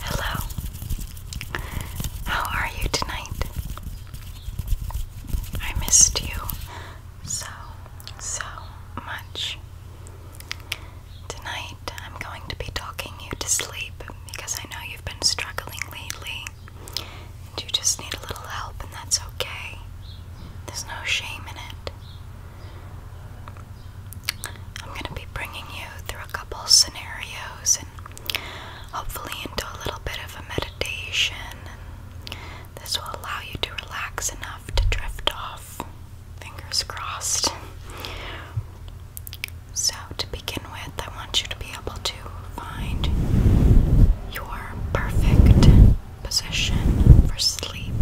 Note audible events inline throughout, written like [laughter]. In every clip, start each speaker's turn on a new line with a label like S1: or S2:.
S1: Hello. How are you tonight? I missed you so, so much. Tonight I'm going to be talking you to sleep because I know you've been struggling lately. And you just need a little help, and that's okay. There's no shame in it. I'm going to be bringing you through a couple scenarios and hopefully into a little bit of a meditation. This will allow you to relax enough to drift off. Fingers crossed. So, to begin with, I want you to be able to find your perfect position for sleep.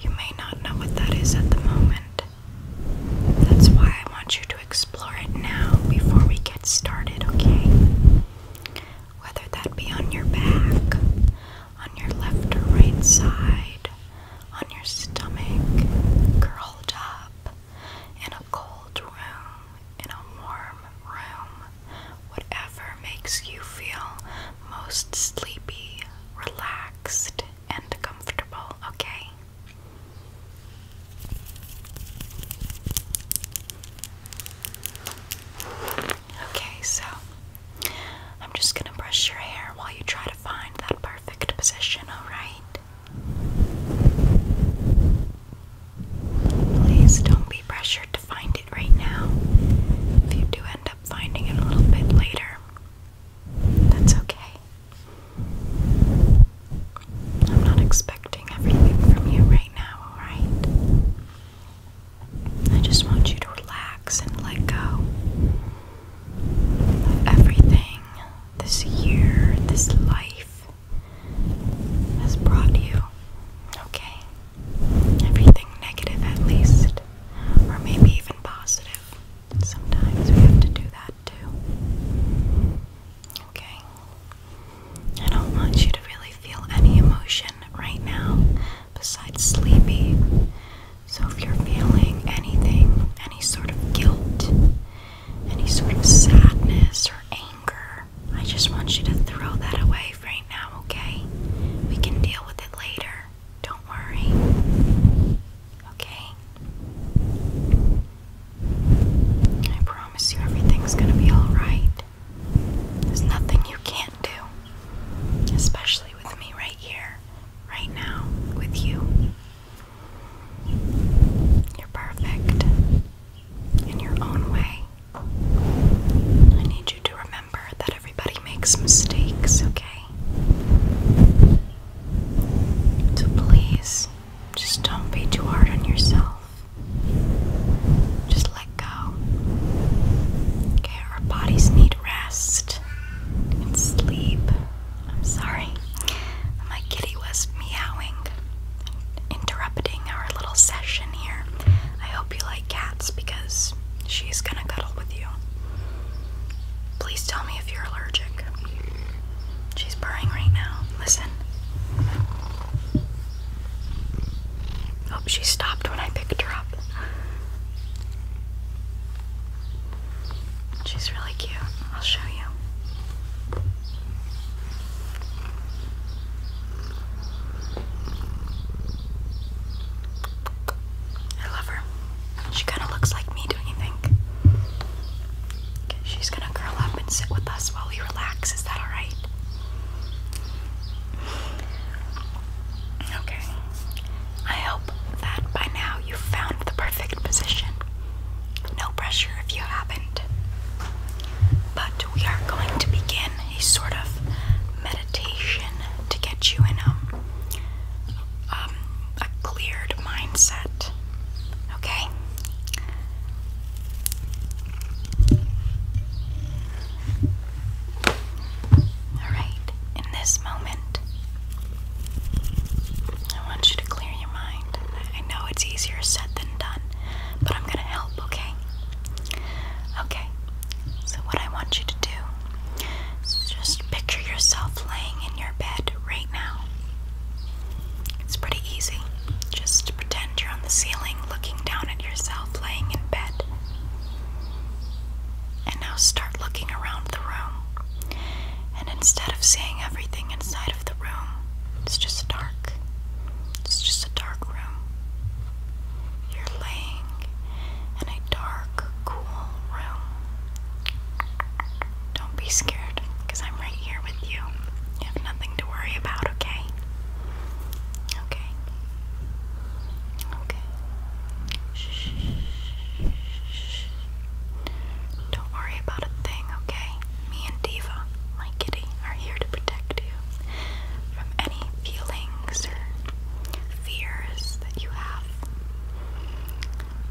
S1: You may not know what that is at the moment. That's why I want you to explore it now before we get started, okay? Whether that be on your back, on your left or right side, on your stomach, curled up, in a cold room, in a warm room, whatever makes you feel most sleepy, relaxed and comfortable, okay? Okay, so I'm just gonna brush your hair while you try to find that perfect position, alright? Please don't be pressured to find it right now. If you do end up finding it a little bit later, that's okay. I'm not expecting everything from you right now, alright? I just want you to relax and let go of everything this year, this life has brought you, okay? Everything negative, at least, or maybe even positive. Sometimes we have to do that too. Okay? I don't want you to really feel any emotion right now besides sleepy. So if you're feeling anything, any sort of guilt, any sort of sadness or anger, I just want you to throw that away right now, okay? We can deal with it later. Don't worry. Okay? I promise you everything's gonna be alright. There's nothing you can't do. Especially with me right here, right now, with you. You're perfect in your own way. I need you to that everybody makes mistakes, okay? So please, just don't be too hard on yourself. Just let go. Okay, our bodies need rest and sleep. I'm sorry. My kitty was meowing, interrupting our little session here. I hope you like cats because she's gonna cuddle with you. Please tell me if you're allergic. She's purring right now. Listen. Oh, she stopped when I picked her up. She's really cute. I'll show you. I love her. She kind of looks like me, don't you think? she's gonna curl up and sit with us while we relax. Is that alright? Okay. I hope that by now you found the perfect position. No pressure if you haven't. But we are going to begin a sort of meditation to get you in a, um, um, a cleared mindset. Okay? Alright, in this moment, I want you to clear your mind. I know it's easier said than done, but I'm going to help, okay? Okay, so what I want you to do is just picture yourself laying in your bed right now. It's pretty easy. Just pretend you're on the ceiling looking down at yourself laying in bed. And now start looking around the room. And instead of seeing everything inside of the room, it's just dark. It's just a dark room. You're laying in a dark, cool room. Don't be scared, I'm right here with you. You have nothing to worry about, okay? Okay. Okay. Shh. Don't worry about a thing, okay? Me and Diva, my kitty, are here to protect you from any feelings or fears that you have.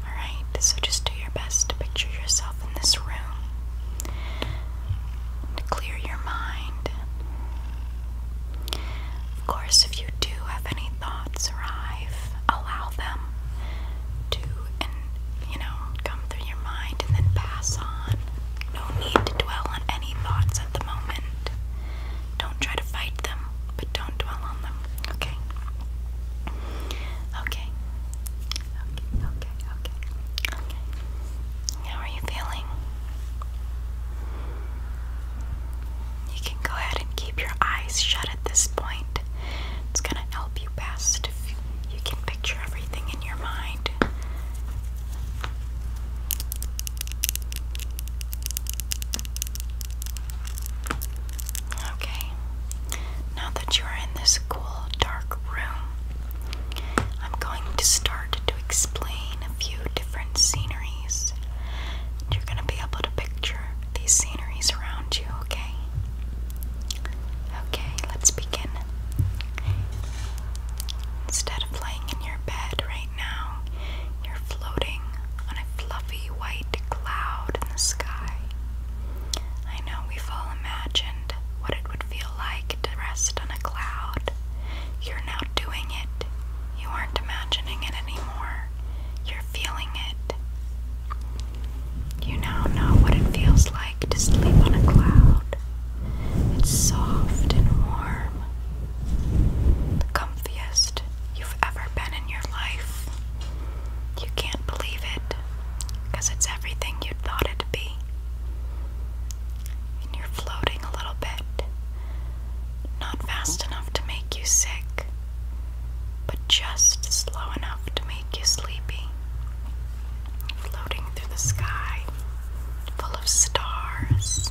S1: Alright, so just do your best to picture yourself in this room, to clear your mind. Of course, if you do have any thoughts arrive, allow them to and you know come through your mind and then pass on. No need to dwell on any thoughts at the moment. Don't try to fight them, but don't dwell on them. Okay. Okay. Okay. Okay. Okay. How are you feeling? You can go ahead and keep your eyes shut at this point. It's gonna help you best if you can picture everything in your mind. Okay, now that you are in this cool, dark room, I'm going to start to explain a few different sceneries. You're going to be able to picture these sceneries around you, okay? Okay, let's begin. Instead of laying in your bed right now, you're floating on a fluffy white cloud in the sky. I know we've all imagined what it would feel like to rest on a cloud. You're now doing it. You aren't imagining it anymore. You're feeling it. You now know what it feels like to sleep on a cloud. It's soft and warm. The comfiest you've ever been in your life. You can't believe it because it's everything you thought it to be. And you're floating a little bit. Not fast enough to make you sick, but just slow enough to make you sleepy. Floating through the sky, full of stars.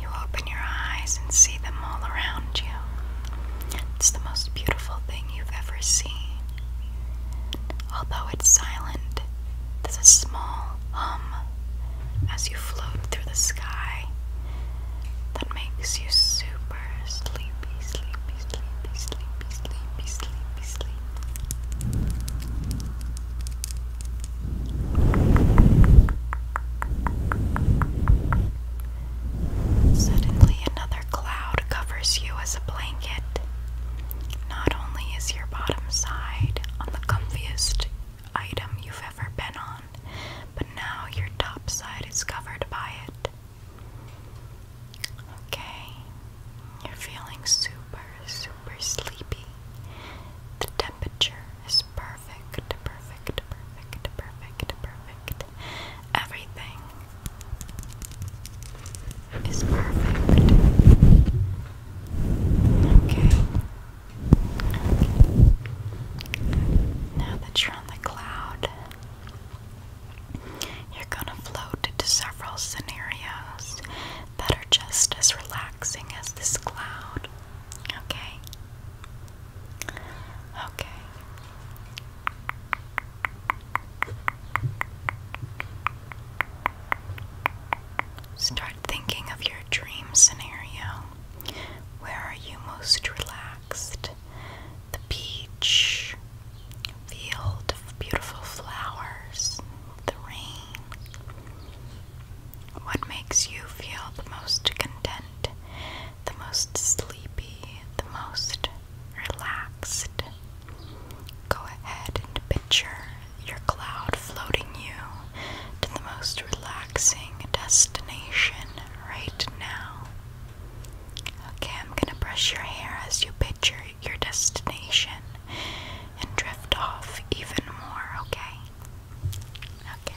S1: You open your eyes and see them all around you. It's the most beautiful thing you've ever seen. Although it's silent, there's a small hum as you float through the sky that makes you super super sleepy, sleepy, sleepy, sleepy, sleepy, sleepy, sleep. Suddenly, another cloud covers you as a blanket. Not only is your bottom side on the comfiest item you've ever been on, but now your top side is covered by it. Okay, you're feeling super, super sleepy. The temperature is perfect, perfect, perfect, perfect, perfect. Everything is perfect. Okay. Now that you're on the cloud, you're gonna float into several scenarios that are just as relaxing as this cloud. Okay? Okay. Start thinking of your dream scenario. Where are you most relaxed? The beach, field of beautiful flowers, the rain. What makes you feel the most content, the most sleepy, the most relaxed? Go ahead and picture your cloud floating you to the most relaxing destination right now. Okay, I'm gonna brush your hair as you picture your destination and drift off even more, okay? Okay.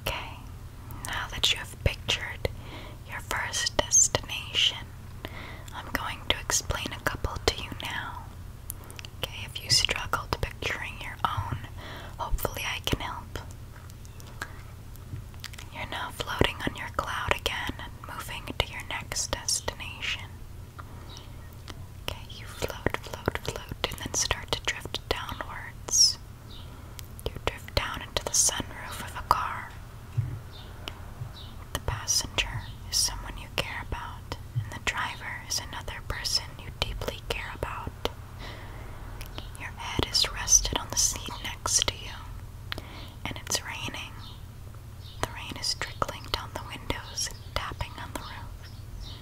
S1: Okay, now that you have pictured your first destination, I'm going to explain a couple to you now. Okay, if you struggle to picturing your own, hopefully I can help. You're now floating on your cloud again and moving to your next destination. Okay, you float, float, float, and then start to drift downwards. You drift down into the sunroof of a car. The passenger is someone you care about, and the driver is another person you deeply care about. Your head is rested on the seat next to you, and it's raining. The rain is trickling down the windows and tapping on the roof.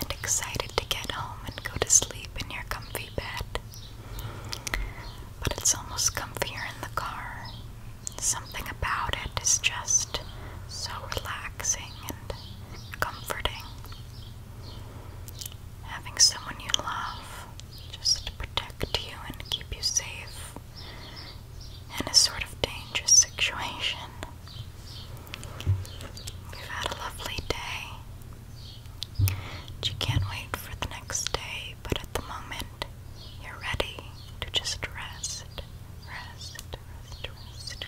S1: and excited to get home and go to sleep in your comfy bed. But it's almost comfier in the car. Something about it is just so relaxing and comforting. Having someone you love just to protect you and keep you safe in a sort of dangerous [laughs] situation You've had a lovely day. But you can't wait for the next day, but at the moment, you're ready to just rest. Rest, rest, rest.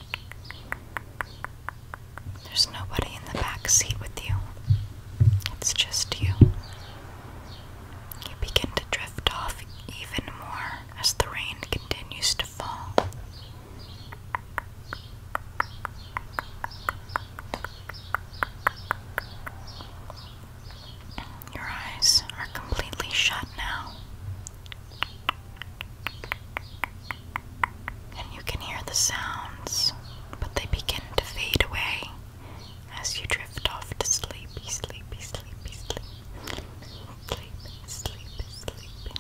S1: There's nobody in the back seat with you. It's just you. You begin to drift off even more as the rain continues to wonderful. Your eyes are completely shut now. And you can hear the sounds, but they begin to fade away as you drift off to sleepy, sleepy, sleepy, sleep. Sleep, sleep, sleep.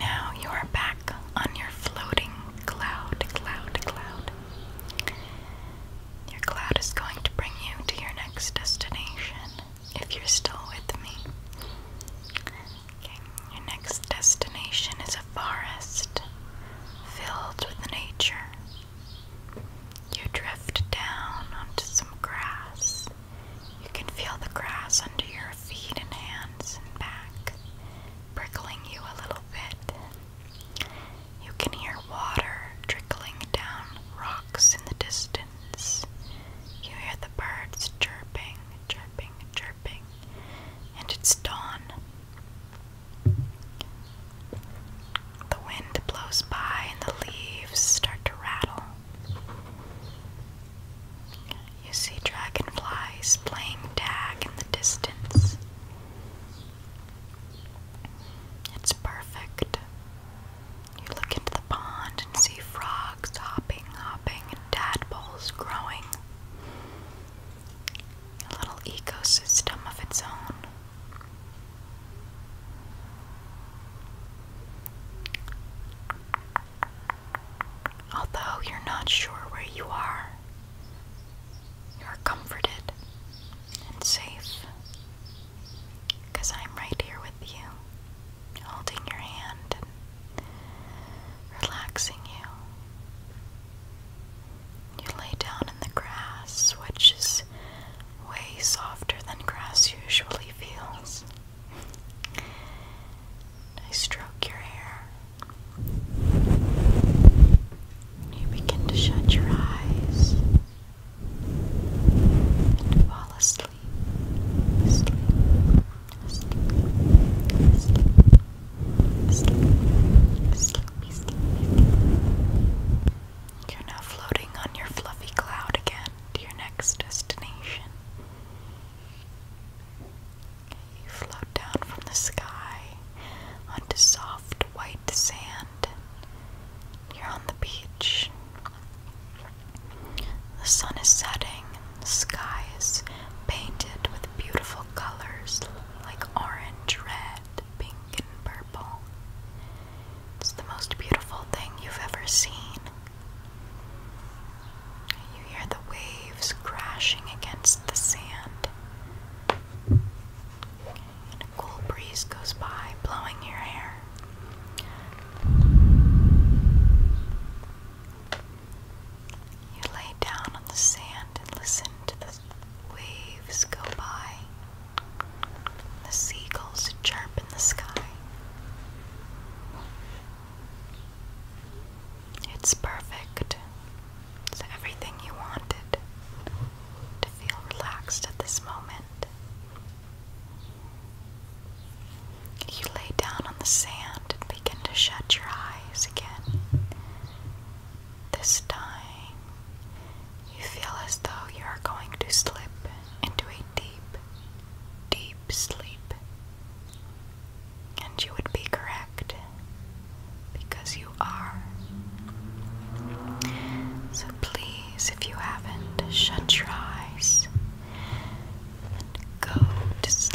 S1: Now you are back on your floating cloud, cloud, cloud. Your cloud is going to bring you to your next destination if you're still with me. Your next destination is a forest filled with nature. You drift down onto some grass. You can feel the grass under your feet and hands and back, prickling you a little bit. You can hear water trickling down rocks in the distance. You hear the birds chirping, chirping, chirping and it's dawn. The wind blows by and the leaves start to rattle. You see dragonflies playing tag in the distance. It's perfect. You look into the pond and see frogs hopping, hopping, and tadpoles growing a little ecosystem of its own. Although you're not sure where you are, you are comforted and safe because I'm right here with you, holding your hand relaxing you. You lay down in the grass, which is way softer than grass usually feels. I stroke your hair. You begin to shut your eyes and fall asleep. You're now floating on your fluffy cloud again to your next destination. You float down from the sky onto soft white sand. You're on the beach. The sun is setting, skies painted with beautiful colors like orange, red, pink, and purple. It's the most beautiful thing you've ever seen. You hear the waves crashing against the sand. And a cool breeze goes by, blowing your hair. You lay down on the sand and listen to the waves go by, the seagulls chirp in the sky. It's perfect. It's everything you wanted to feel relaxed at this moment. You lay down on the sand and begin to shut your eyes again. This time, you feel as though you are going to slip into a deep, deep sleep. And you would be correct because you are. So please, if you haven't, shut your eyes and go to sleep